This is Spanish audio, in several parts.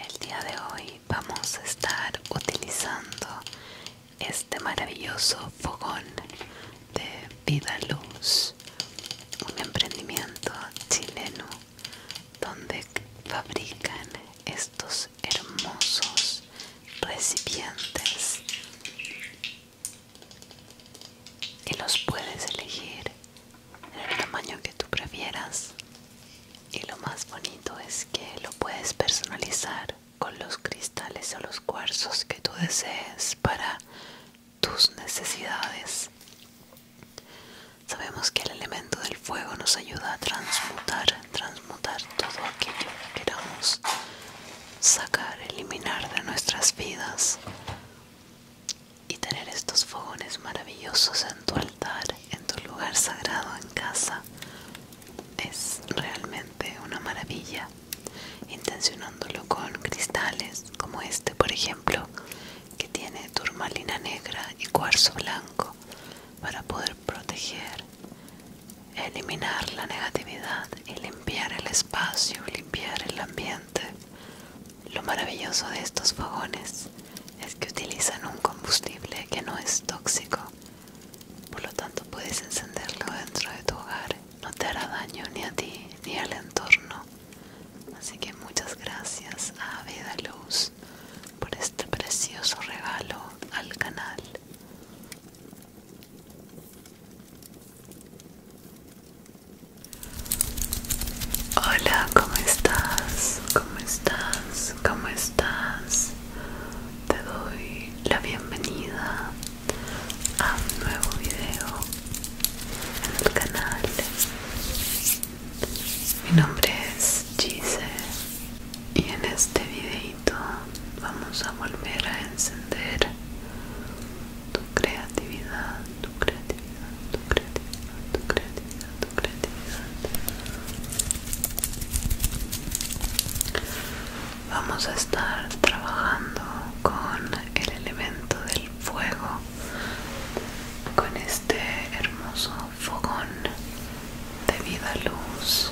El día de hoy vamos a estar utilizando este maravilloso fogón de Vida Luz, un emprendimiento chileno donde fabrican estos hermosos recipientes y los puedes elegir en el tamaño que tú prefieras y lo más bonito es que lo puedes personalizar con los cristales o los cuarzos que tú desees para tus necesidades sabemos que el elemento del fuego nos ayuda a transmutar, transmutar todo aquello que queramos sacar, eliminar de nuestras vidas y tener estos fogones maravillosos en tu altar, en tu lugar sagrado, en casa. Es realmente una maravilla. Intencionándolo con cristales como este, por ejemplo, que tiene turmalina negra y cuarzo blanco para poder proteger, eliminar la negatividad y limpiar el espacio, limpiar el ambiente. Lo maravilloso de estos fogones es que utilizan un combustible que no es tóxico, por lo tanto puedes encenderlo dentro de tu hogar, no te hará daño ni a ti ni al entorno. Así que muchas gracias a Vida Luz por este precioso regalo al canal. Hola, ¿cómo estás? ¿Cómo estás? ¿Cómo estás? Te doy la bienvenida a un nuevo video en el canal. Mi nombre es Gise y en este videito vamos a volver a encender tu creatividad, tu creatividad, tu creatividad, tu creatividad, tu creatividad. Vamos a estar trabajando con el elemento del fuego, con este hermoso fogón de vida luz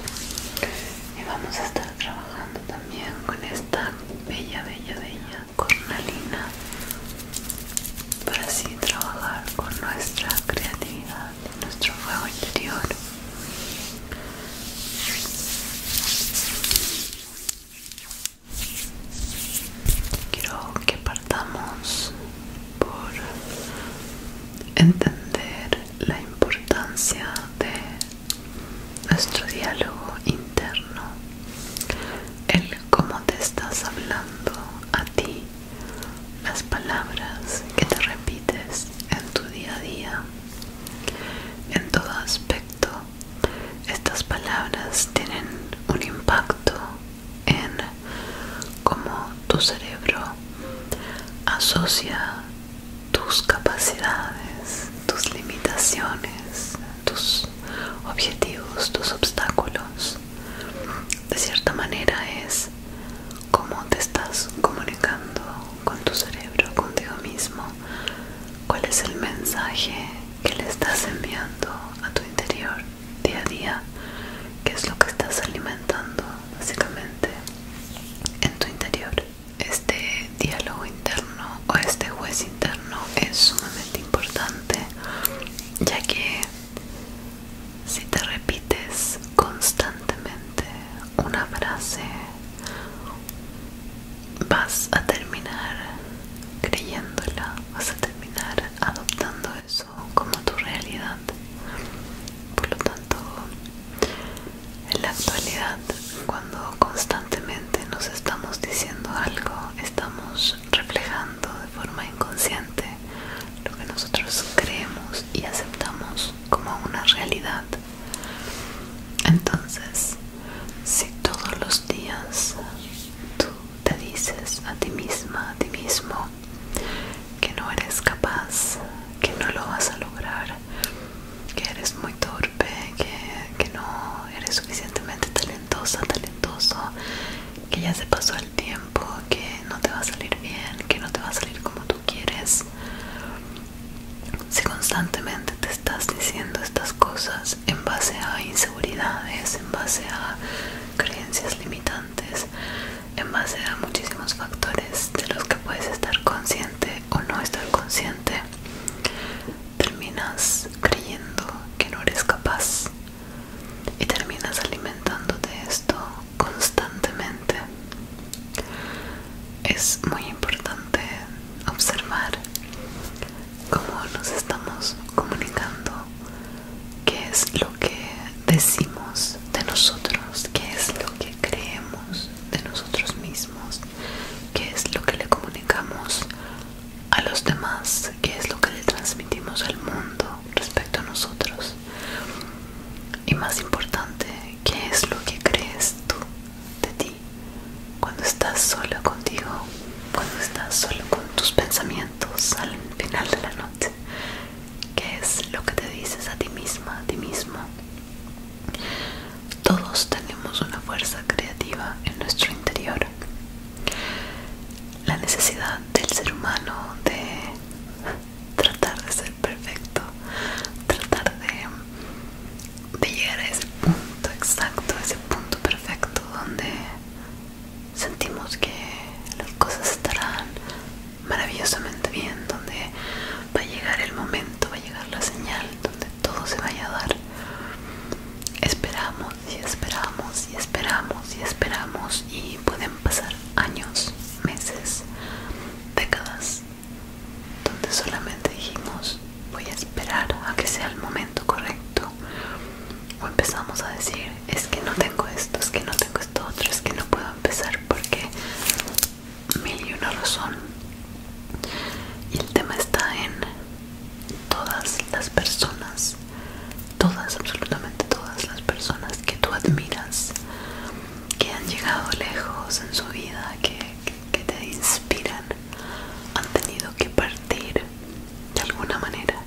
y vamos a estar trabajando también con esta bella bella bella cornalina para así trabajar con nuestra creatividad nuestro fuego interior Quiero que partamos por entender la importancia de nuestro diálogo interno, el cómo te estás hablando a ti, las palabras que te repites en tu día a día, en todo aspecto. Estas palabras tienen un impacto en cómo tu cerebro asocia tus capacidades, tus limitaciones, tus objetivos, tus obstáculos. De cierta manera es cómo te estás comunicando con tu cerebro, contigo mismo, cuál es el mensaje que le estás enviando a tu interior día a día, qué es lo que estás alimentando básicamente en tu interior este diálogo interno o este juez interno es sumamente importante ya que si te repites constantemente una frase vas a terminar creyéndola vas a terminar adoptando eso como tu realidad. Por lo tanto, en la actualidad, cuando constantemente nos estamos diciendo algo, estamos reflejando de forma inconsciente lo que nosotros creemos y aceptamos como una realidad. Entonces, si todos los días tú te dices a ti misma, a ti mismo, que no eres capaz, que no lo vas a lograr, que eres muy torpe, que, no eres suficientemente talentosa, talentoso, que ya se pasó el tiempo, que no te va a salir bien, que no te va a salir como tú quieres. Si constantemente te estás diciendo estas cosas en base a inseguridades, en base a creencias limitantes, en base a muchísimos factores de los que puedes estar consciente o no estar consciente terminas creyendo que no eres capaz y terminas alimentándote esto constantemente es muy importante observar cómo nos estamos comunicando qué es lo que decimos de nosotros, qué es lo que creemos de nosotros mismos, qué es lo que le comunicamos a los demás, qué es lo que le transmitimos al mundo respecto a nosotros. Y más importante, qué es lo que crees tú de ti cuando estás solo contigo, cuando estás solo con tus pensamientos al final de la noche qué es lo que te dices a ti misma, a ti mismo. Todos tenemos una fuerza creativa en nuestro interior. La necesidad del ser humano de tratar de ser perfecto, tratar de, llegar a ese punto exacto, ese punto perfecto donde sentimos que las cosas estarán maravillosamente bien, donde va a llegar el momento, va a llegar la señal, donde todo se vaya a dar. Esperamos y esperamos y esperamos y esperamos y pueden pasar años, meses, décadas, donde solamente dijimos voy a esperar a que sea el momento correcto o empezamos a decir es que no tengo esto, es que no tengo es que no puedo empezar porque mil y una razón. Y el tema está en todas las personas, todas, absolutamente todas las personas que tú admiras, que han llegado lejos en su vida, que, que te inspiran, han tenido que partir de alguna manera.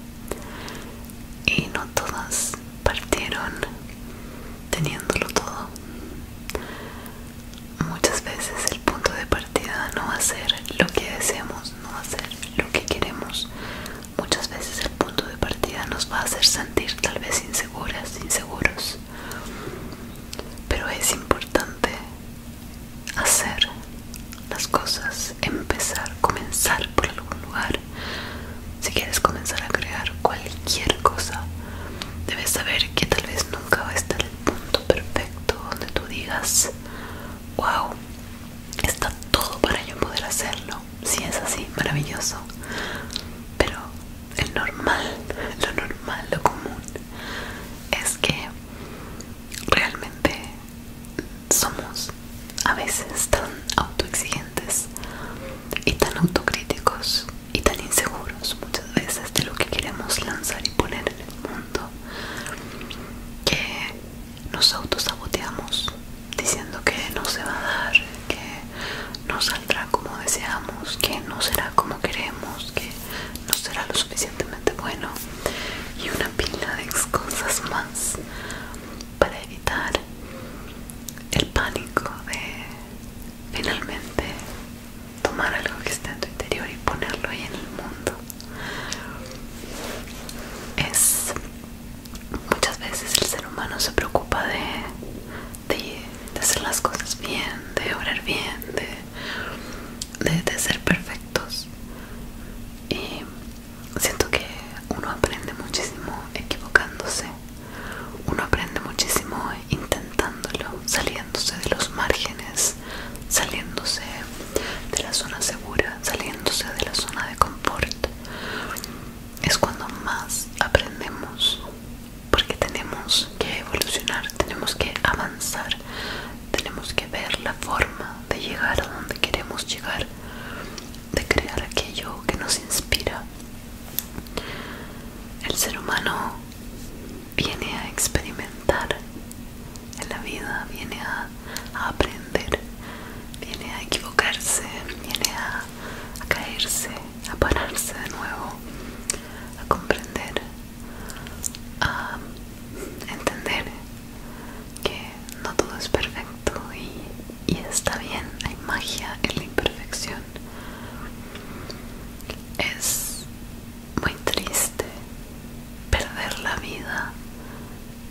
Y no todas partieron teniéndolo todo. Muchas veces el punto de partida no va a ser lo que deseamos, no va a ser lo que queremos. Muchas veces el punto de partida nos va a hacer sentir tal vez inseguras, inseguros. Pero es importante hacer las cosas, empezar, comenzar por algún lugar. Si quieres comenzar a crear cualquier cosa, debes saber que tal vez nunca va a estar el punto perfecto donde tú digas, wow, está todo para yo poder hacerlo. Si es así, maravilloso. Pero el normal, lo normal, lo común, es que realmente somos a veces tan autoexigentes y tan autocríticos y tan inseguros muchas veces de lo que queremos lanzar y poner en el mundo que nos autosaboteamos diciendo que no se va a dar, que no saldrá como deseamos, que no será como queremos, que no será lo suficientemente bueno y una pila de cosas más para evitar el pánico de finalmente tomar algo que está en tu interior y ponerlo ahí en el mundo es muchas veces el ser humano se preocupa de, hacer las cosas bien de orar bien de ser perfectos y siento que uno aprende muchísimo equivocándose uno aprende muchísimo intentándolo, saliéndose de los márgenes, saliéndose de la zona segura, saliéndose de la zona de confort. Es cuando más aprendemos, porque tenemos que evolucionar, tenemos que avanzar, tenemos que ver la forma de llegar a donde queremos llegar, de crear aquello que nos inspira el ser humano viene a experimentar en la vida, viene a, aprender, viene a equivocarse, viene a, a caerse, a pararse de nuevo, a comprender, a entender que no todo es perfecto y y está bien, hay magia en la imperfección. Es muy triste perder la vida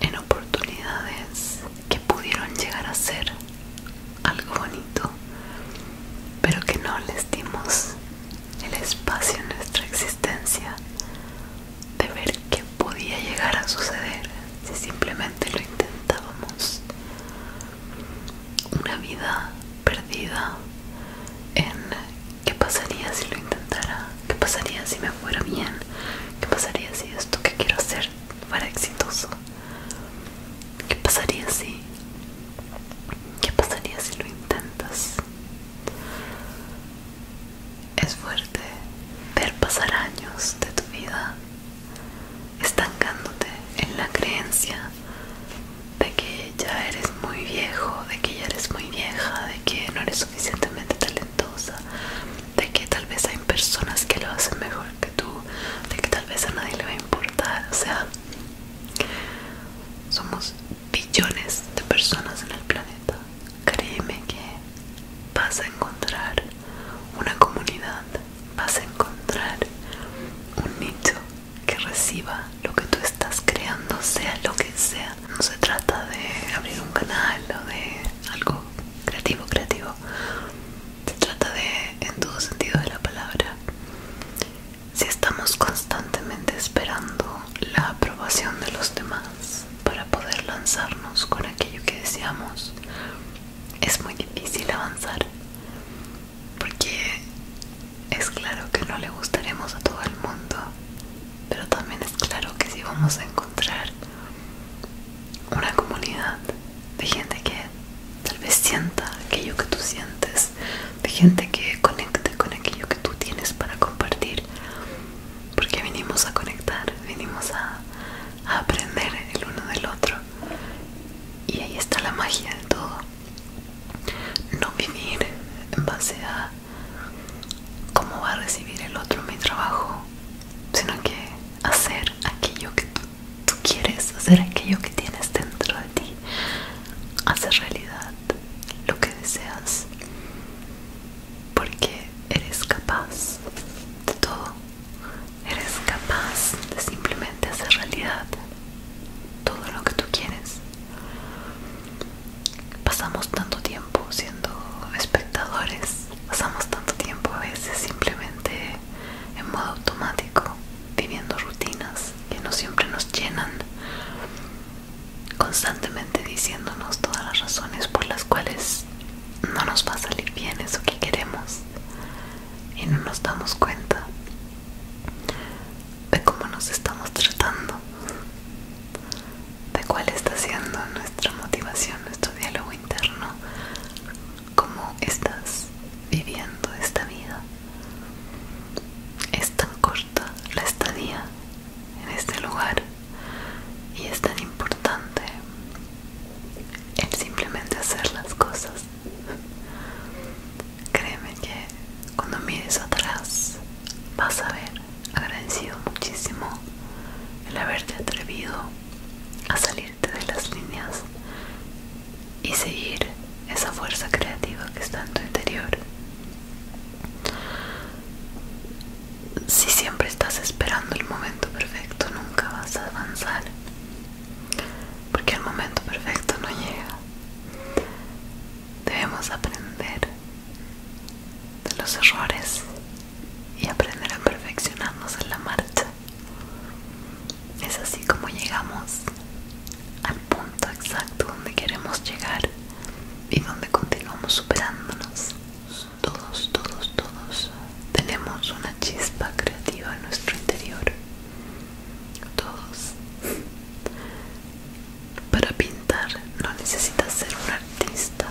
en oportunidades que pudieron llegar a ser algo bonito, pero que no les dimos el espacio en nuestra existencia de ver qué podía llegar a suceder si simplemente lo intentábamos una vida perdida en qué pasaría si lo intentara, qué pasaría si me fuera bien, qué pasaría si esto que quiero hacer fuera exitoso, qué pasaría si, qué pasaría si lo intentas. Es fuerte ver pasar años de tu vida estancándote en la creencia de que ya eres muy viejo, de que ya eres muy vieja, de que no eres suficientemente talentosa, de que tal vez hay personas que lo hacen mejor que tú, de que tal vez a nadie le va a importar, o sea, somos billones de personas en el planeta. Créeme que vas a encontrar una comunidad, vas a encontrar un nicho que reciba lo que tú estás creando, sea lo que sea. No se trata de abrir un canal o de algo creativo, creativo. Se trata de, en todo sentido de la palabra, si estamos constantemente esperando la aprobación de los demás para poder lanzarnos con aquello que deseamos, es muy difícil avanzar porque es claro que no le gustaremos a todo el mundo pero también es claro que si vamos a encontrar una comunidad de gente que tal vez sienta aquello que tú sientes de gente que conecte con aquello que tú tienes para compartir porque venimos a conectar venimos a, aprender el uno del otro y ahí está la magia de todo no vivir en base a cómo va a recibir el otro mi trabajo sino que hacer aquello que tú, tú quieres hacer aquello que tienes dentro de ti hacer realidad lo que deseas porque eres capaz de todo Eres capaz de simplemente hacer realidad todo lo que tú quieres. Pasamos tanto tiempo siendo espectadores, pasamos tanto tiempo a veces simplemente en modo automático, viviendo rutinas que no siempre nos llenan, constantemente diciéndonos todas las razones por las cuales no nos va a salir bien eso que queremos y no nos damos cuenta de cómo nos estamos tratando, de cuál está siendo nuestra motivación, nuestro diálogo interno, cómo estás viviendo esta vida. Es tan corta la estadía en este lugar y es tan importante el simplemente hacer las cosas Créeme que cuando mires atrás vas a ver agradecido muchísimo el haberte atrevido a salirte de las líneas y seguir esa fuerza creativa que está en tu interior. Si siempre estás esperando el momento perfecto, nunca vas a avanzar porque el momento perfecto no llega. Debemos aprender de los errores y aprender a perfeccionarnos en la marcha. Es así como llegamos al punto exacto donde queremos llegar y donde continuamos superándonos. Todos, todos, todos tenemos una chispa creativa en nuestro interior todos para pintar no necesitas ser un artista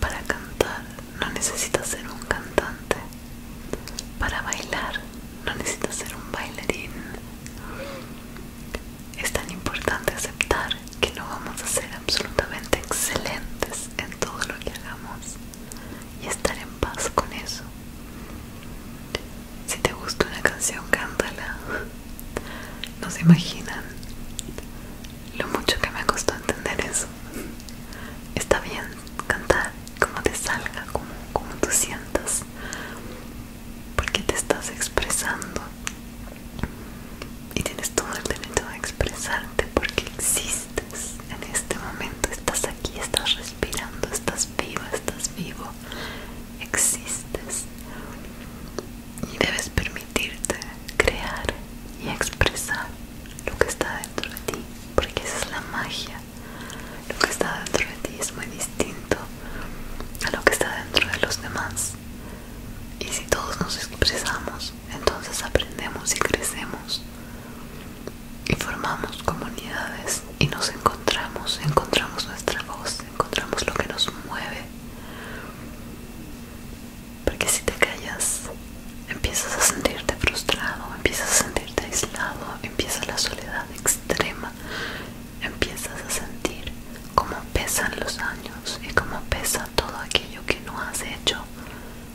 para cantar no necesitas ser un cantante para bailar no necesitas ser un bailarín es tan importante aceptar que no vamos a ser absolutamente excelentes en todo lo que hagamos y estar en paz con eso. Si te gusta una canción, cántala. No se imaginan lo mucho que me costó entender eso. Está bien cantar como te salga, como, tú sientas, porque te estás expresando y tienes todo el derecho de expresarte porque existe en este momento, estás aquí, estás respirando, estás vivo, estás vivo, existes y debes permitirte crear y expresar lo que está dentro de ti, porque esa es la magia. Lo que está dentro de ti es muy distinto a lo que está dentro de los demás. Y si todos nos expresamos, entonces aprendemos y crecemos y formamos comunidades y nos encontramos, encontramos nuestra voz, encontramos lo que nos mueve. Porque si te callas, empiezas a sentirte frustrado, empiezas a sentirte aislado, empieza la soledad extrema, empiezas a sentir cómo pesan los años y cómo pesa todo aquello que no has hecho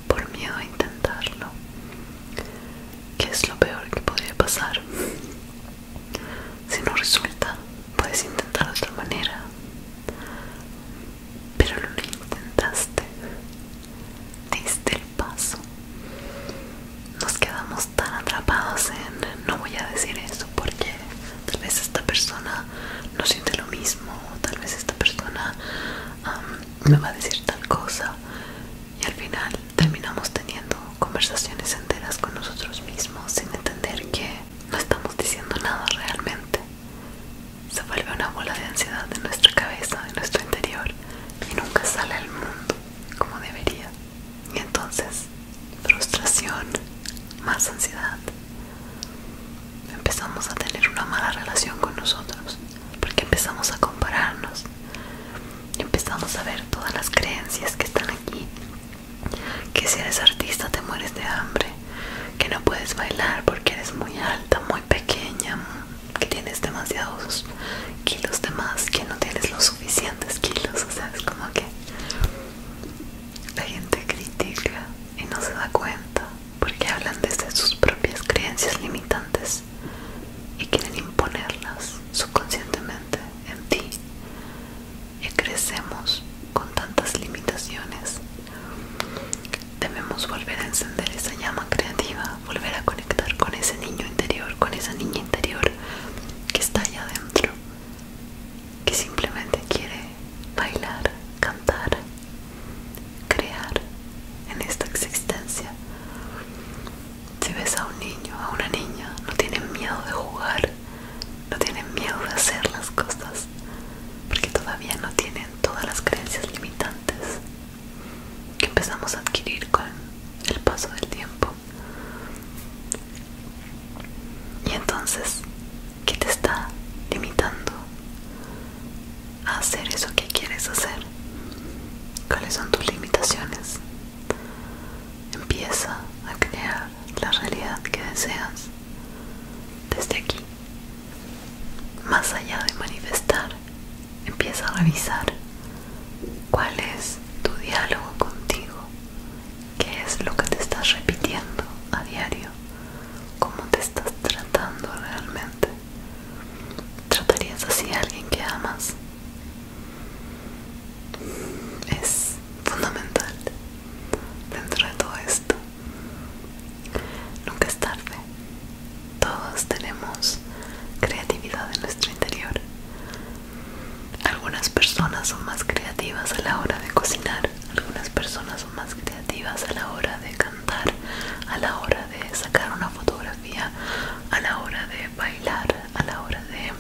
por miedo a intentarlo. ¿Qué es lo peor que podría pasar? Si no resulta, puedes intentar de otra manera. Pero no lo intentaste. Diste el paso. Nos quedamos tan atrapados en no voy a decir eso porque tal vez esta persona no siente lo mismo, o tal vez esta persona me va a decir tal cosa y al final terminamos teniendo conversaciones enteras con nosotros mismos sin entender que no estamos diciendo nada realmente. Se vuelve una bola de ansiedad en nuestra cabeza, en nuestro interior y nunca sale al mundo como debería. Y entonces, frustración, más ansiedad. Empezamos a tener una mala relación con nosotros porque empezamos a compararnos empezamos a ver todas las creencias que están aquí que si eres artista te mueres de hambre que no puedes bailar porque eres muy alta muy pequeña que tienes demasiados kilos de más que no tienes los suficientes kilos o sea es como que la gente critica y no se da cuenta porque hablan desde sus propias creencias limitantes y quieren imponerlas subconscientemente en ti. Y crecemos con tantas limitaciones. Debemos volver a encender esa llama creativa, volver a conectar con ese niño interior, con esa niña interior que está allá adentro, que simplemente quiere bailar, cantar, crear en esta existencia. Si ves a un niño, a una niña, no tienen miedo de jugar, no tienen miedo de hacer las cosas, porque todavía no tienen todas las creencias limitantes que empezamos a adquirir con el paso del tiempo. Y entonces, ¿qué te está limitando? hacer eso que quieres hacer. ¿Cuáles son tus limitaciones? Empieza a crear la realidad que deseas desde aquí. Más allá de manifestar, empieza a revisar cuál es tu diálogo contigo, qué es lo que te estás repitiendo a diario, cómo te estás tratando realmente. ¿Tratarías así a alguien que amas? Es fundamental dentro de todo esto. Nunca es tarde. Todos tenemos creatividad en nuestro interior. Algunas personas son más creativas a la hora de cocinar, algunas personas son más creativas a la hora de cantar, a la hora de sacar una fotografía a la hora de bailar, a la hora de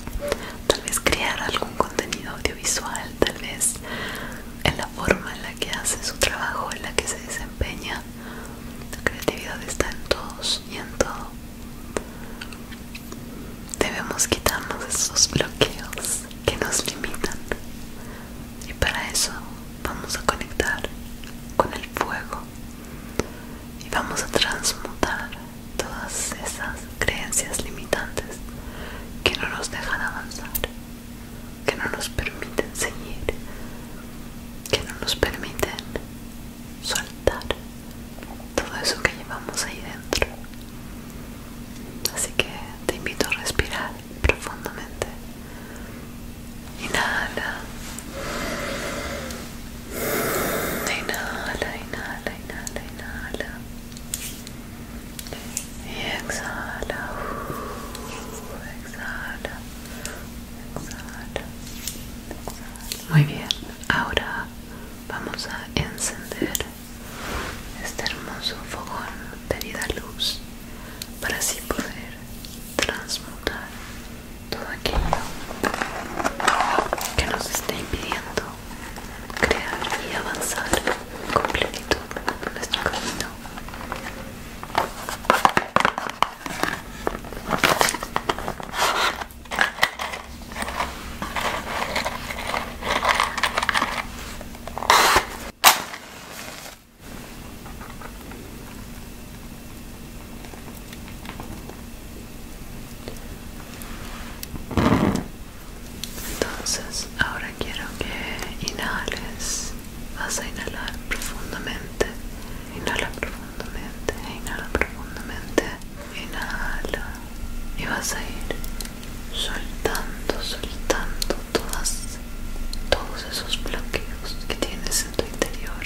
tal vez crear algún contenido audiovisual, tal vez en la forma en la que hace su trabajo, en la que se desempeña. La creatividad está en todos y en todo. Debemos quitarnos esos bloqueos que nos limitan y para eso vamos a conectar con el fuego y vamos a transmutar todas esas creencias limitantes que no nos dejan avanzar, que no nos permiten seguir, que no nos permiten soltar todo eso que llevamos ahí dentro. Así que te invito a respirar profundamente Inhala. Inhala, inhala, inhala, inhala. Y exhala. Exhala. Exhala. Muy bien, ahora vamos a encender este hermoso fogón de vida luz para así poder transmutar todo aquello que nos está impidiendo crear y avanzar con plenitud en nuestro camino. Entonces, ahora quiero que inhales. Vas a inhalar profundamente. Inhala profundamente. Inhala profundamente. Inhala. Y vas a ir soltando, soltando todos esos bloqueos que tienes en tu interior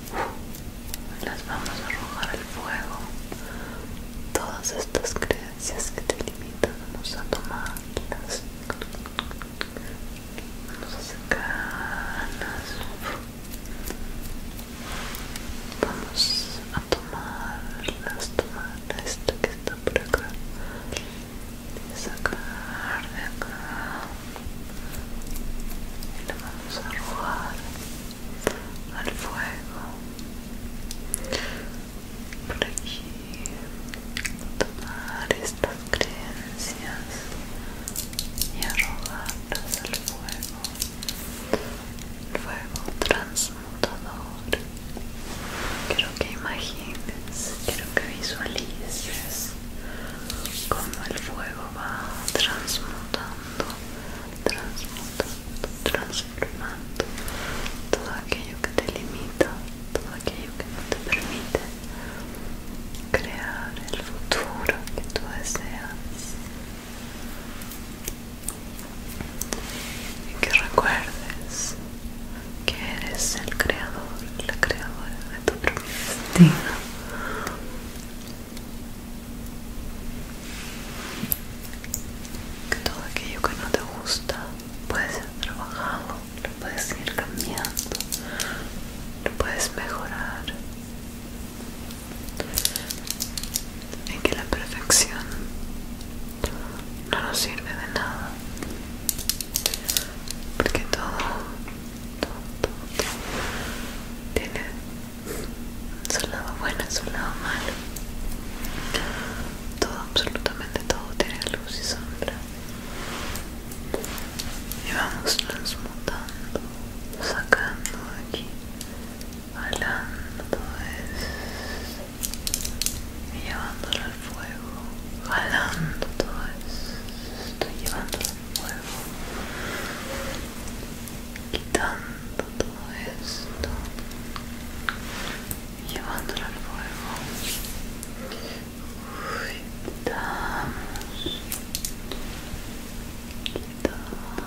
las vamos a arrojar al fuego todas estas creencias que te limitan vamos a tomarlas vamos a sacarlas vamos a tomarlas tomar esta que está por acá sacar de acá y vamos a arrojar al fuego por aquí tomar estas creencias y arrojarlas al fuego el fuego transmutador quiero que imagines quiero que visualices como el fuego va transmutando, transmutando, transformando todo aquello que te limita, todo aquello que no te permite crear el futuro que tú deseas. Y que recuerdes que eres el creador, la creadora de tu propio destino que todo aquello que no te gusta puede ser trabajado, lo puedes ir cambiando, lo puedes mejorar en que la perfección no nos sirve de nada porque todo todo, Tiene su lado bueno, su lado malo. Todo, absolutamente todo tiene luz y sombra. Y vamos transmutando, sacando de aquí, jalando es, y llevándolo al fuego, jalando todo estoy llevándolo quitando todo esto llevándolo al fuego Uy, quitamos quitamos quitamos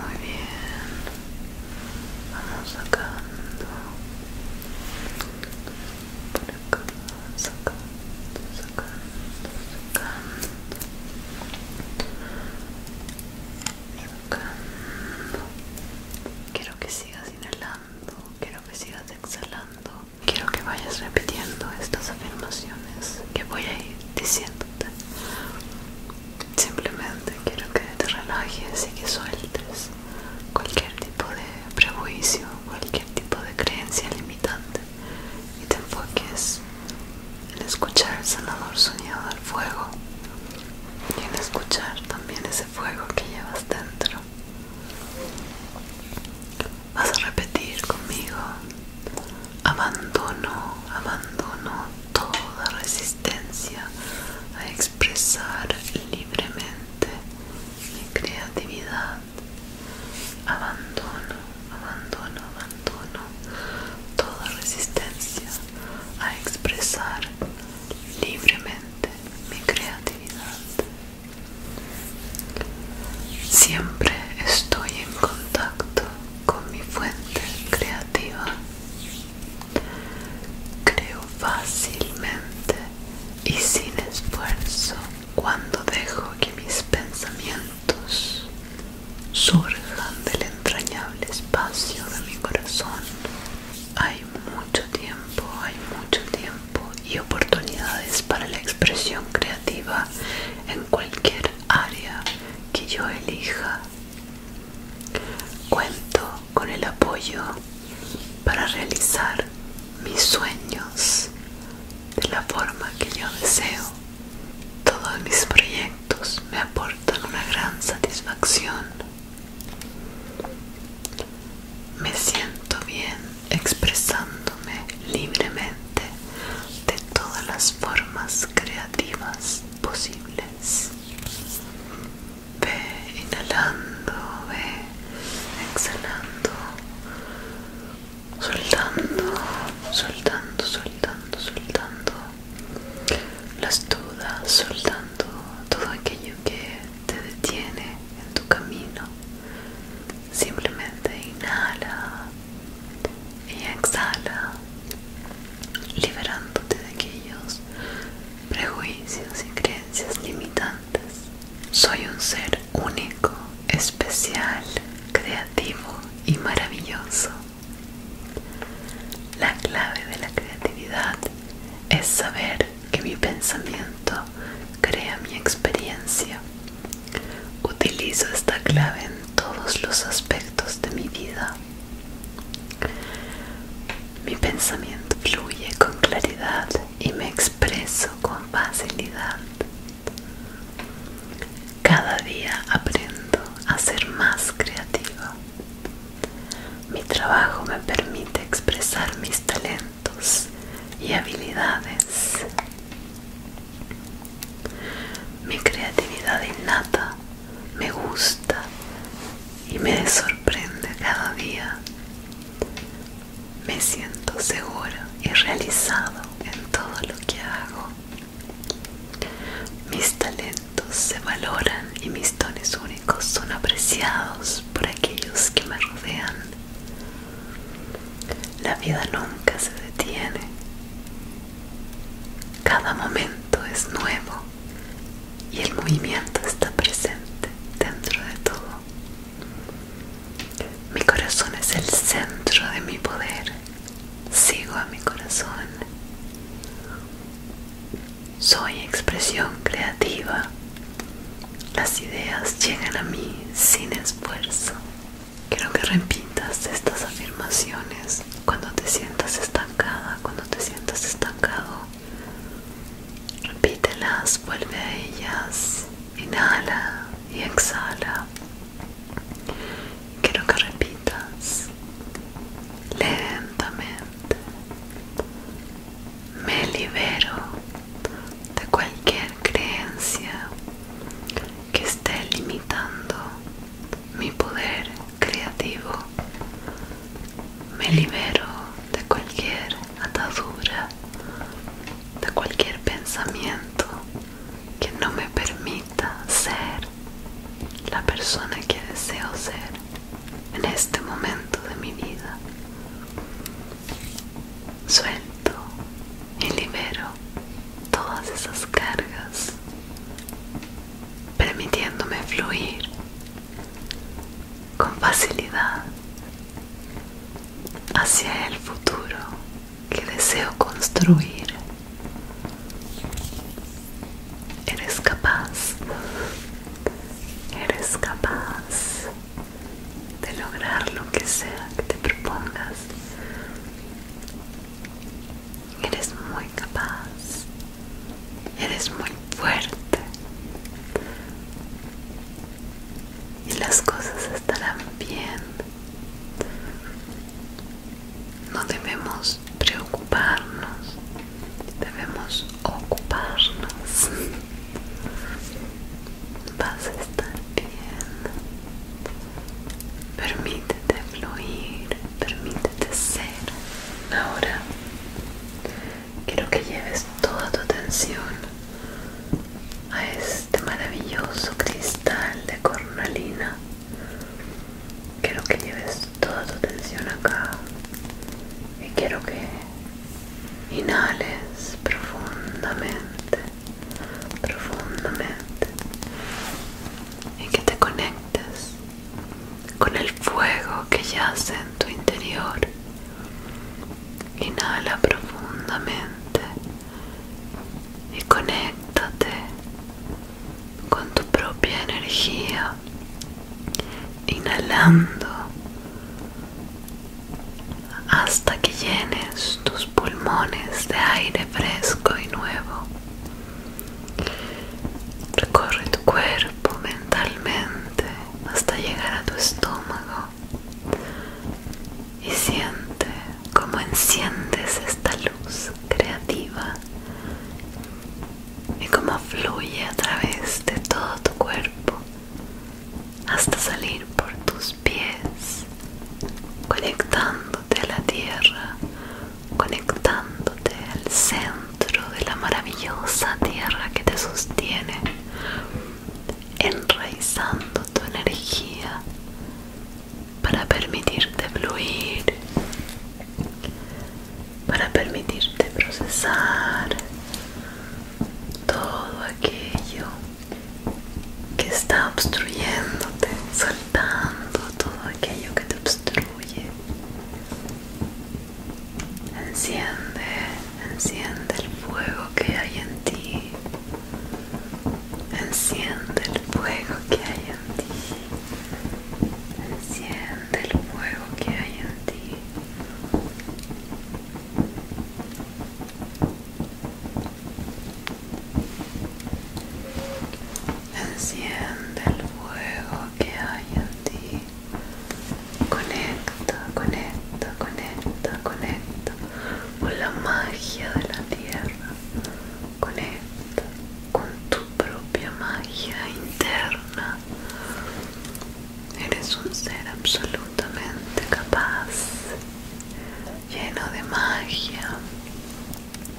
Muy bien, vamos sacando por acá, sacando, sacando, sacando. Nunca quiero que sigas inhalando quiero que sigas exhalando quiero que vayas repitiendo estas afirmaciones que voy a ir diciéndote simplemente quiero que te relajes y que sueltes cualquier tipo de prejuicio cualquier tipo de creencia limitante y te enfoques en escuchar el sanador soñado del fuego y en escuchar también ese fuego que llevas dentro. Vas a repetir conmigo, abandono, abandono toda resistencia a expresar libremente mi creatividad. Abandono, abandono, abandono toda resistencia a expresar libremente mi creatividad. Siempre estoy en contacto con mi fuente creativa. Creo fácilmente y sin esfuerzo cuando dejo que mis pensamientos surjan del entrañable espacio de mi corazón. Hay mucho tiempo, hay mucho tiempo y oportunidades para la expresión creativa en cualquier área que yo elija. Cuento con el apoyo para realizar mis sueños de la forma que yo deseo. Todos mis proyectos me aportan una gran satisfacción. Me siento bien expresándome libremente de todas las formas creativas posibles. Ve inhalando, ve exhalando, soltando, soltando, soltando, soltando las dudas, soltando todo aquello que te detiene en tu camino. Simplemente inhala y exhala, liberándote de aquellos prejuicios y creencias limitantes. Soy un ser único, especial, creativo y maravilloso. La clave de la creatividad es saber que mi pensamiento crea mi experiencia. Utilizo esta clave en todos los aspectos de mi vida. Mi pensamiento fluye con claridad y me expreso con facilidad. Cada día aprendo a ser más creativa. Mi trabajo me permite expresar mis talentos y habilidades. Mi creatividad innata me gusta y me sorprende cada día. Me siento seguro y realizado en todo lo que hago. Mis talentos se valoran y mis dones únicos son apreciados por aquellos que me rodean. La vida nunca se detiene. Cada momento es nuevo y el movimiento está presente dentro de todo. Mi corazón es el centro de mi poder. Sigo a mi corazón. Soy expresión creativa. Las ideas llegan a mí sin esfuerzo. Quiero que repitas estas afirmaciones cuando te sientas estancada, cuando te sientas estancado. Repítelas, vuelve a ellas, inhala y exhala quiero que repitas lentamente me libero de cualquier creencia que esté limitando mi poder creativo me libero de cualquier atadura de cualquier pensamiento que no me permita ser la persona que deseo ser en este momento de mi vida. Suelto y libero todas esas cargas, permitiéndome fluir con facilidad hacia el futuro que deseo construir Eres capaz, eres capaz de lograr lo que sea que te propongas. Eres muy capaz, eres muy fuerte y las cosas estarán bien. No debemos preocuparnos, debemos ocuparnos. Vas a estar bien. Permítete fluir, permítete ser. Ahora quiero que lleves toda tu atención a este maravilloso cristal de cornalina Quiero que lleves toda tu atención acá y quiero que inhales profundamente, profundamente y que te conectes con el fuego que yace en tu interior. Inhala profundamente y conéctate con tu propia energía, inhalando hasta que llenes tus pulmones de aire fresco y nuevo. Recorre tu cuerpo mentalmente hasta llegar a tu estómago y siente cómo enciendes esta luz creativa y cómo fluye a través de todo tu cuerpo hasta salir por tus pies, conectándote a la tierra, conectándote al centro de la maravillosa tierra que te sostiene, enraizando tu energía para permitirte fluir para permitirte procesar todo aquello que está obstruyéndote, soltando todo aquello que te obstruye. Enciende, enciende el fuego que hay en ti. Enciende el fuego que hay en ti. Enciende el fuego que hay en ti. Enciende el fuego que hay en ti. Conecta, conecta, conecta, conecta con la magia de la tierra. Conecta con tu propia magia interna. Eres un ser absolutamente capaz, lleno de magia,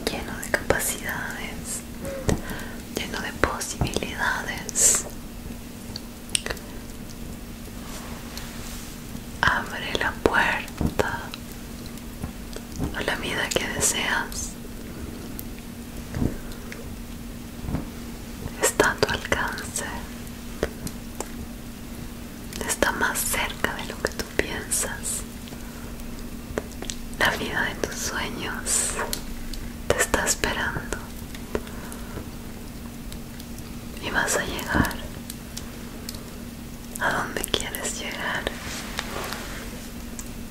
lleno de capacidades, lleno de posibilidades. Abre la puerta la vida que deseas. Está a tu alcance. Está más cerca de lo que tú piensas. La vida de tus sueños te está esperando. Y vas a llegar a donde quieres llegar.